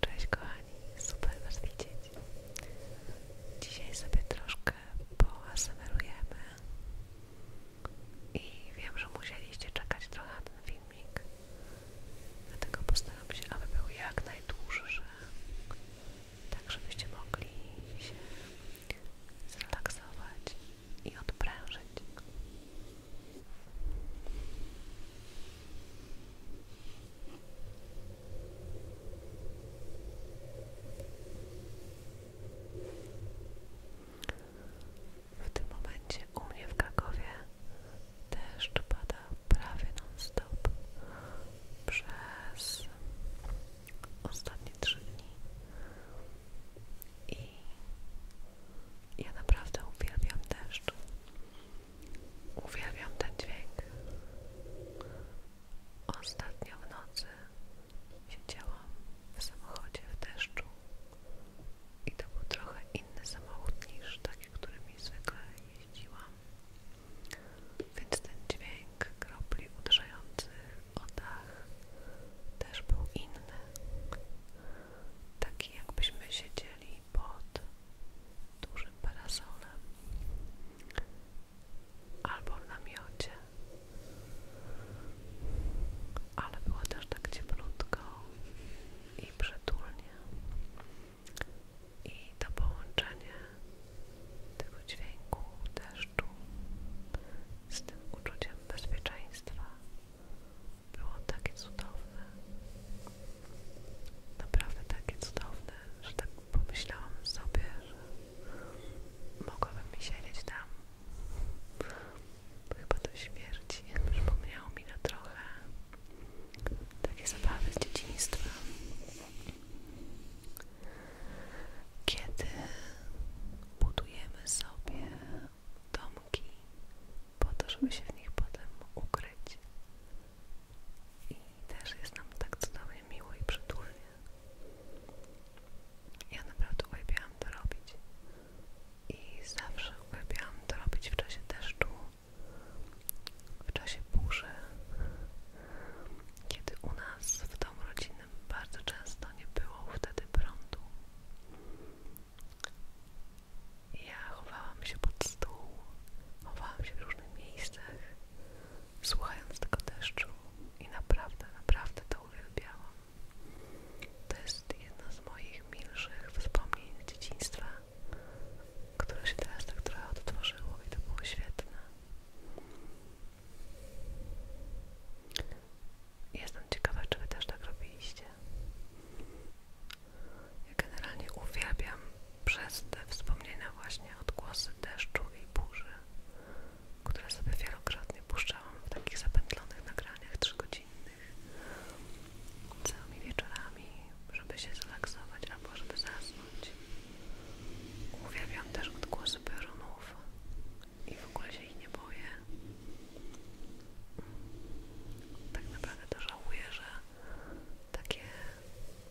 Cześć kochani, super Was widzieć. Dzisiaj sobie troszkę poasemerujemy i wiem, że musieliście czekać trochę na ten filmik, dlatego postaram się, aby był jak najdłuższy, tak żebyście mogli się zrelaksować i odprężyć. W tym momencie u mnie w Krakowie deszcz pada prawie non-stop przez ostatnie trzy dni. I ja naprawdę uwielbiam deszcz. Uwielbiam ten dźwięk. Ostatnio w nocy siedziałam w samochodzie w deszczu i to był trochę inny samochód niż taki, mi zwykle jeździłam. Więc ten dźwięk kropli uderzających o też był inny, taki jakbyśmy siedzieli pod dużym parasolem albo w namiocie, ale było też tak cieplutko i przytulnie i to połączenie tego dźwięku deszczu z tym uczuciem bezpieczeństwa było takie cudowne. Naprawdę takie cudowne, że tak pomyślałam sobie, że mogłabym siedzieć tam. Chyba do śmierci. Przypomniało mi na trochę takie zabawy z dzieciństwa. Kiedy budujemy sobie domki po to, żeby się w nich potem ukryć. I też jest nam tak cudownie miło i przytulnie. Ja naprawdę uwielbiałam to robić. I zawsze uwielbiałam to robić w czasie deszczu, w czasie burzy, kiedy u nas w domu rodzinnym bardzo często nie było wtedy prądu. Ja chowałam się pod stół, chowałam się w różnych miejscach, słuchając tego deszczu i naprawdę, naprawdę to uwielbiałam. To jest jedno z moich milszych wspomnień z dzieciństwa, które się teraz tak trochę odtworzyło i to było świetne. Jestem ciekawa, czy wy też tak robiliście. Ja generalnie uwielbiam przez te wspomnienia właśnie odgłosy deszczu i burzy, które sobie wielokrotnie puszczałam w takich zapętlonych nagraniach trzygodzinnych całymi wieczorami, żeby się zrelaksować albo żeby zasnąć. Uwielbiam też odgłosy piorunów i w ogóle się ich nie boję. Tak naprawdę to żałuję, że takie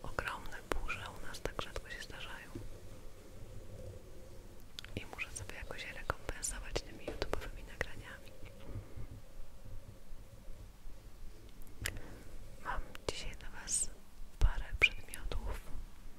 ogromne burze u nas tak rzadko się zdarzają. I muszę sobie jakoś rekompensować tymi YouTube'owymi nagraniami. Mam dzisiaj dla Was parę przedmiotów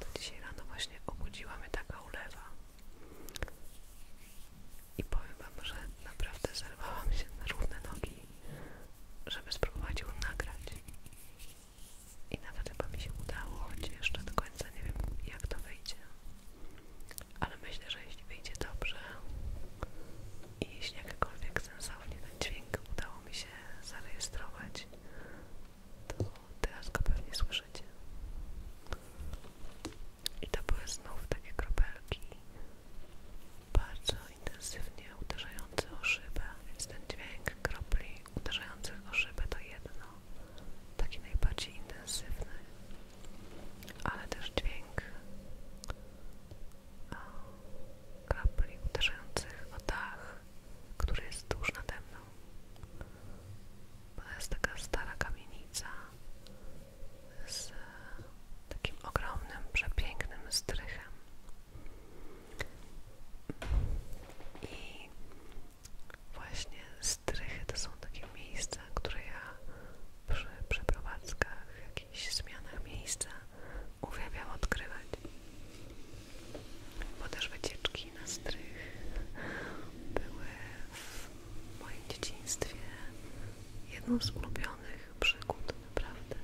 To dzisiaj rano właśnie obudziła mnie taka ulewa i powiem wam, że naprawdę zerwałam się na równe nogi, żeby spróbować ją nagrać. I nawet chyba mi się udało, choć jeszcze do końca nie wiem jak to wyjdzie ale myślę, że jeśli wyjdzie dobrze i jeśli jakakolwiek sensownie ten dźwięk udało mi się zarejestrować, to teraz go pewnie słyszycie. I to były znów takie kropelki, bardzo intensywnie uderzające o szybę, więc ten dźwięk kropli uderzających o szybę to jedno, taki najbardziej intensywny, ale też dźwięk e, krapli uderzających o dach, który jest tuż nade mną. To jest taka stara kamienica z e, takim ogromnym, przepięknym strychem. I właśnie strychy to są takie miejsca, które ja przy przeprowadzkach, jakichś zmianach miejsca uwielbiam odkrywać. Bo też wycieczki na strych były w moim dzieciństwie jedną z ulubionych przygód, naprawdę.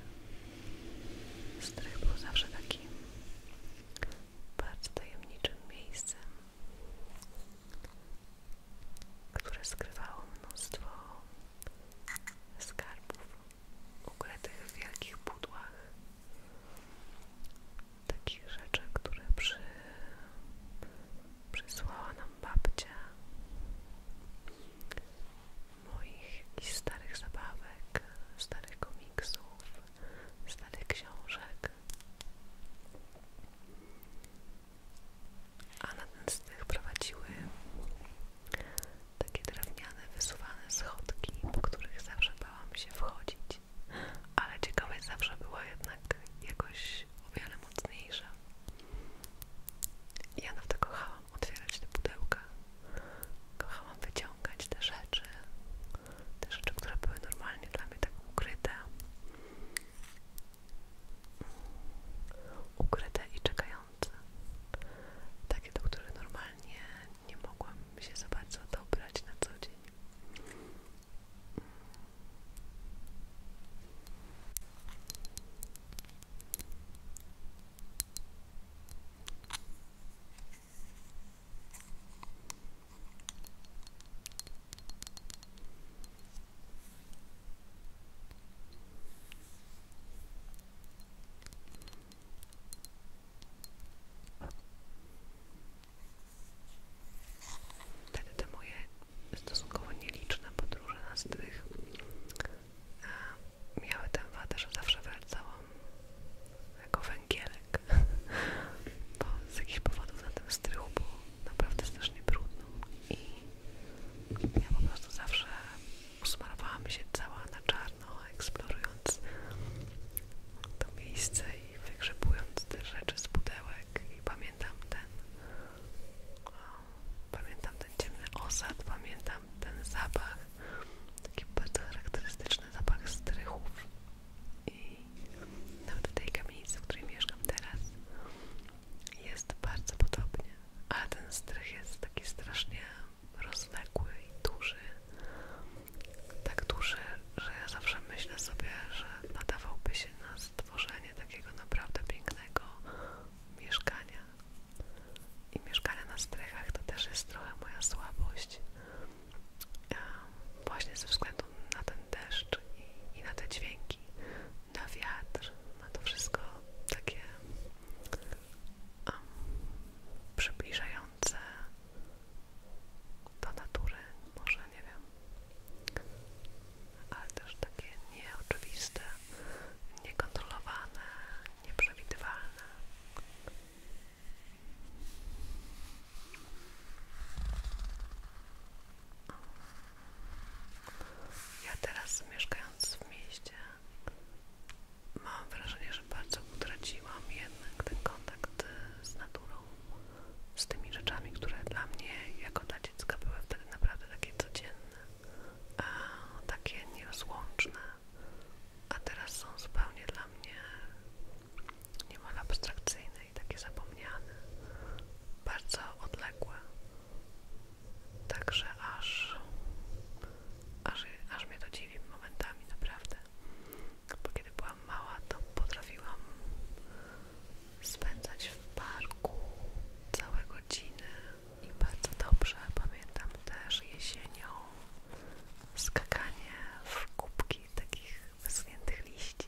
Strych był zawsze takim bardzo tajemniczym miejscem które skrywało mnóstwo skarbów ukrytych w wielkich pudłach takich rzeczy, które przy... przysłała nam babcia moich jakichś starych zabawek, starych komiksów, starych książek a na ten strych prowadziły takie drewniane, wysuwane schodki, po których zawsze bałam się wchodzić, ale ciekawe zawsze była jednak jakoś o wiele mocniejsza. Ja nawet kochałam otwierać te pudełka, kochałam wyciągać te rzeczy, te rzeczy, które były normalnie dla mnie tak ukryte ukryte i czekające, takie do których normalnie nie mogłam się za bardzo dobrać na co dzień. Wtedy te moje stosunkowo nieliczne podróże na strych e, miały tę wadę, że zawsze wracałam jako węgielek, bo z jakichś powodów na tym strychu było naprawdę strasznie brudną i ja po prostu zawsze usmarowałam się cała na czarno, eksplorując to miejsce i wygrzebując te rzeczy z pudełek i pamiętam ten pamiętam ten ciemny osad, pamiętam ten zapach taki bardzo charakterystyczny zapach strychów i nawet w tej kamienicy, w której mieszkam teraz jest bardzo podobnie, ale ten strych jest taki strasznie rozległy i duży tak duży, że ja zawsze myślę sobie, że nadawałby się na stworzenie takiego naprawdę pięknego mieszkania i mieszkanie na strychach to też jest trochę moja słabość właśnie ze względu na ten deszcz i, na te dźwięki, na wiatr, na to wszystko takie um, przybliżające do natury, może nie wiem, ale też takie nieoczywiste, niekontrolowane, nieprzewidywalne. Ja teraz mieszkając w mieście mam wrażenie, że bardzo utraciłam jednak ten kontakt z naturą, z tymi rzeczami, które dla mnie jako dla dziecka były wtedy naprawdę takie codzienne, takie nierozłączne, a teraz są zupełnie dla mnie niemal abstrakcyjne i takie zapomniane, bardzo odległe. Także aż, aż, aż mnie to dziwi momentami, naprawdę. Bo kiedy byłam mała, to potrafiłam spędzać w parku całe godziny i bardzo dobrze pamiętam też jesienią skakanie w kubki takich wyschniętych liści.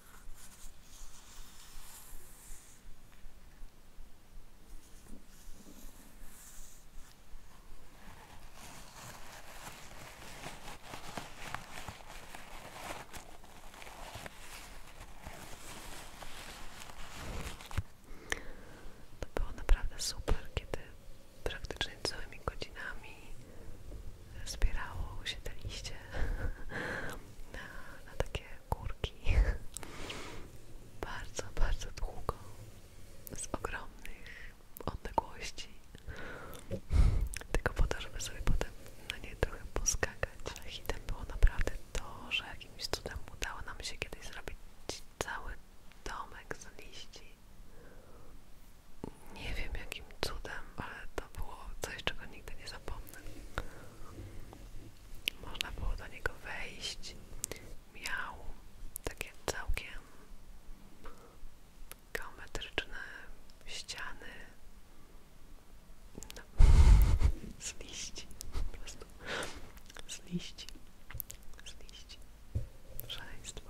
To było naprawdę super, kiedy praktycznie całymi godzinami zbierało się te liście na, takie kurki bardzo, bardzo długo z ogromnych odległości tylko po to, żeby sobie potem na nie trochę poskakać ale hitem było naprawdę to, że jakimś cudem udało nam się kiedyś zrobić cały domek z liści nie wiem jakim cudem, ale to było coś, czego nigdy nie zapomnę. Można było do niego wejść. Miał takie całkiem geometryczne ściany no. z liści, po prostu z liści, z liści, szaleństwo.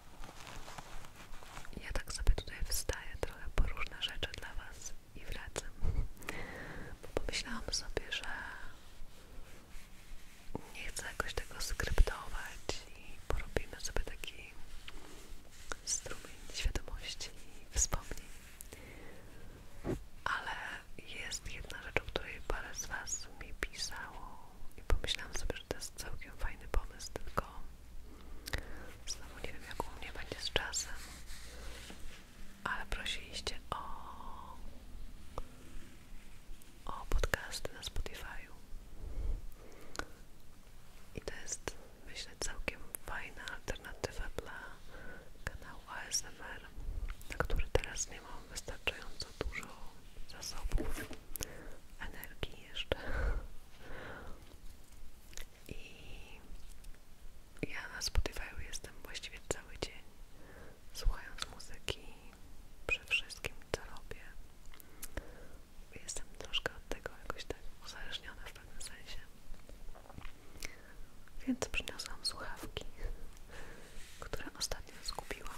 Ja tak sobie tutaj wstaję trochę po różne rzeczy dla Was i wracam. Bo pomyślałam sobie, że nie chcę jakoś tego skryptować i porobimy sobie taki strumień świadomości i wspomnień. Ale jest jedna rzecz, o której parę z Was mi pisało i pomyślałam sobie, że to jest całkiem fajny pomysł, tylko Znowu nie wiem jak u mnie będzie z czasem, ale prosiliście o, o podcasty na Spotify'u i to jest myślę całkiem fajna alternatywa dla kanału ASMR, na który teraz nie mam wystarczająco dużo zasobów energii jeszcze i ja na Spotify jestem właściwie cały dzień słuchając muzyki przy wszystkim co robię jestem troszkę od tego jakoś tak uzależniona w pewnym sensie więc przyniosłam słuchawki które ostatnio zgubiłam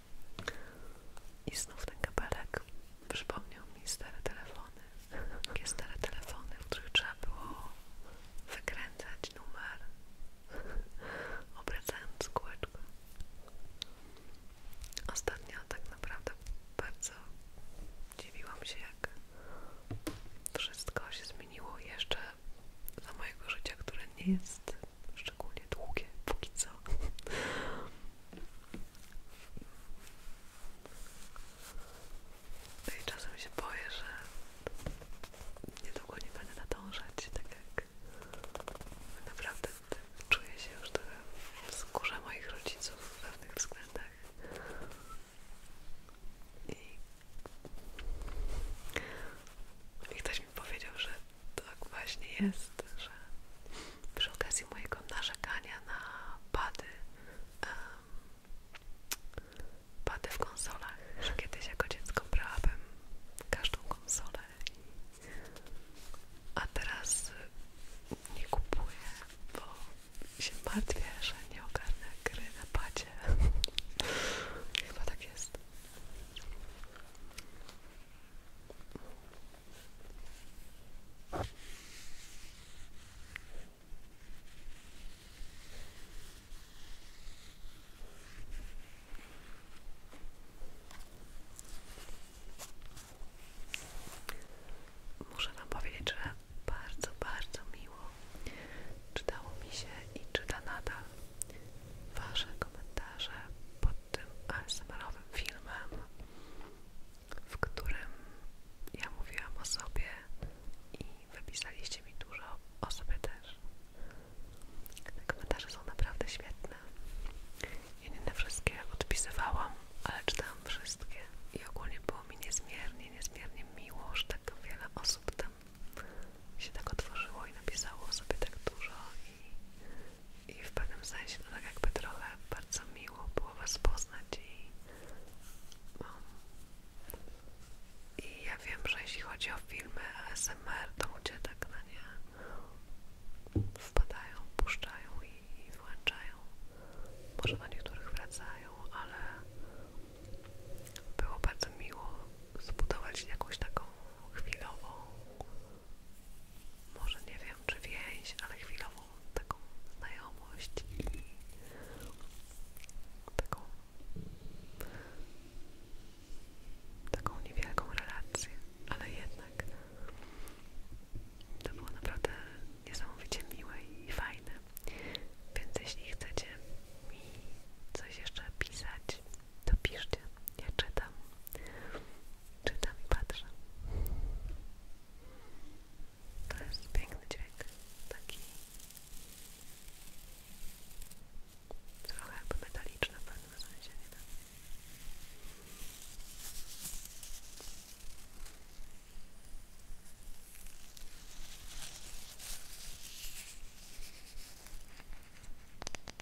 I znów ten kabelek przypomniał mi stare telefony. Takie stare telefony, w których trzeba było wykręcać numer, obracając kółeczko. Ostatnio tak naprawdę bardzo dziwiłam się, jak wszystko się zmieniło jeszcze za mojego życia, które nie jest szczególnie długie póki co. No i czasem się boję, że niedługo nie będę nadążać, tak jak naprawdę czuję się już trochę w skórze moich rodziców w pewnych względach. I, I ktoś ktoś powiedział, że tak właśnie jest, że przy okazji mojego narzekania na pady, pady w konsolach, że kiedyś jako dziecko brałabym każdą konsolę, a teraz nie kupuję, bo się martwię, że nie ogarnę gry na padzie. Chyba tak jest. Muszę Wam powiedzieć, że bardzo, bardzo miło czytało mi się i czyta nadal Wasze komentarze tym asmr filmem, w którym ja mówiłam o sobie i wypisaliście mi dużo o sobie też. komentarze są naprawdę świetne. Ja nie na wszystkie odpisywałam, ale czytałam wszystkie i ogólnie było mi niezmiernie, niezmiernie miło, że tak wiele osób tam się tak otworzyło i napisało o sobie tak dużo i w pewnym sensie to tak jakby trochę bardzo miło było Was poznać i, i ja wiem, że jeśli chodzi o filmy ASMR, to ludzie tak na nie wpadają, puszczają i, i włączają. Może na niektórych wracają, ale było bardzo miło zbudować jakąś taką chwilową może nie wiem czy więź, ale chwilową taką znajomość i taką taką niewielką relację, ale jednak to było naprawdę niesamowicie miłe i fajne. Więc jeśli chcecie mi coś jeszcze pisać, to piszcie. Ja czytam. Czytam i patrzę. To jest piękny dźwięk. Taki trochę jakby metaliczny w pewnym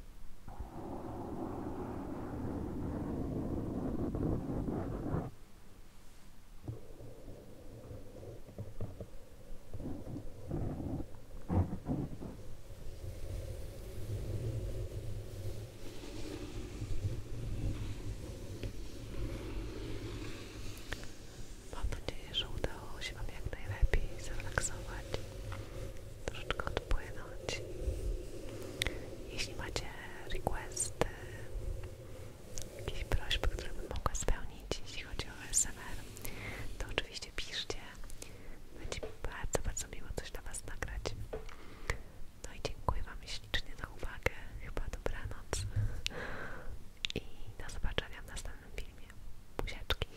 Mam nadzieję, że udało się Wam jak najlepiej zrelaksować troszeczkę odpłynąć. Jeśli macie requesty, jakieś prośby, które bym mogła spełnić, jeśli chodzi o SMR, to oczywiście piszcie. Będzie mi bardzo, bardzo miło coś dla Was nagrać. No i dziękuję Wam ślicznie za uwagę. Chyba dobranoc. I do zobaczenia w następnym filmie. Buziaczki.